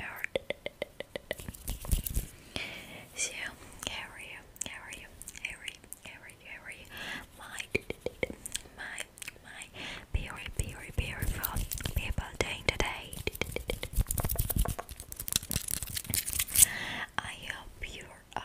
Earth. So, how are you? How are you? How are you? How are you? How are you? My, my, my very, very beautiful people doing today. I hope you're um.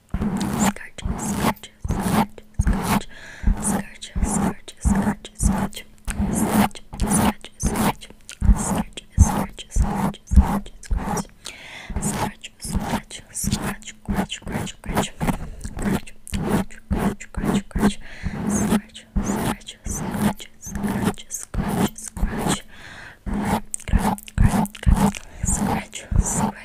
Scourge, scourge, scourge, scourge, scourge, scourge, scourge, scourge, scourge, scourge, scourge, scourge, scourge, scourge, scourge, scourge, Scratch, scratch, scratch, scratch, scratch, scratch, scratch, scratch, scratch, scratch, scratch, scratch, scratch, scratch, scratch, scratch, scratch, scratch, scratch,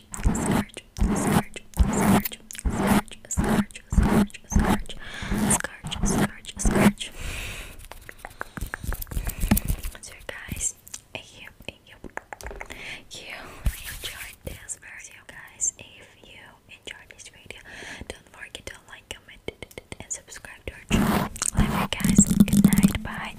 scourge, scourge, scourge, scourge, scourge, scourge, scourge, So guys, I you enjoyed this video guys. If you enjoyed this video, don't forget to like, comment, and subscribe to our channel. Love guys. Good night. Bye.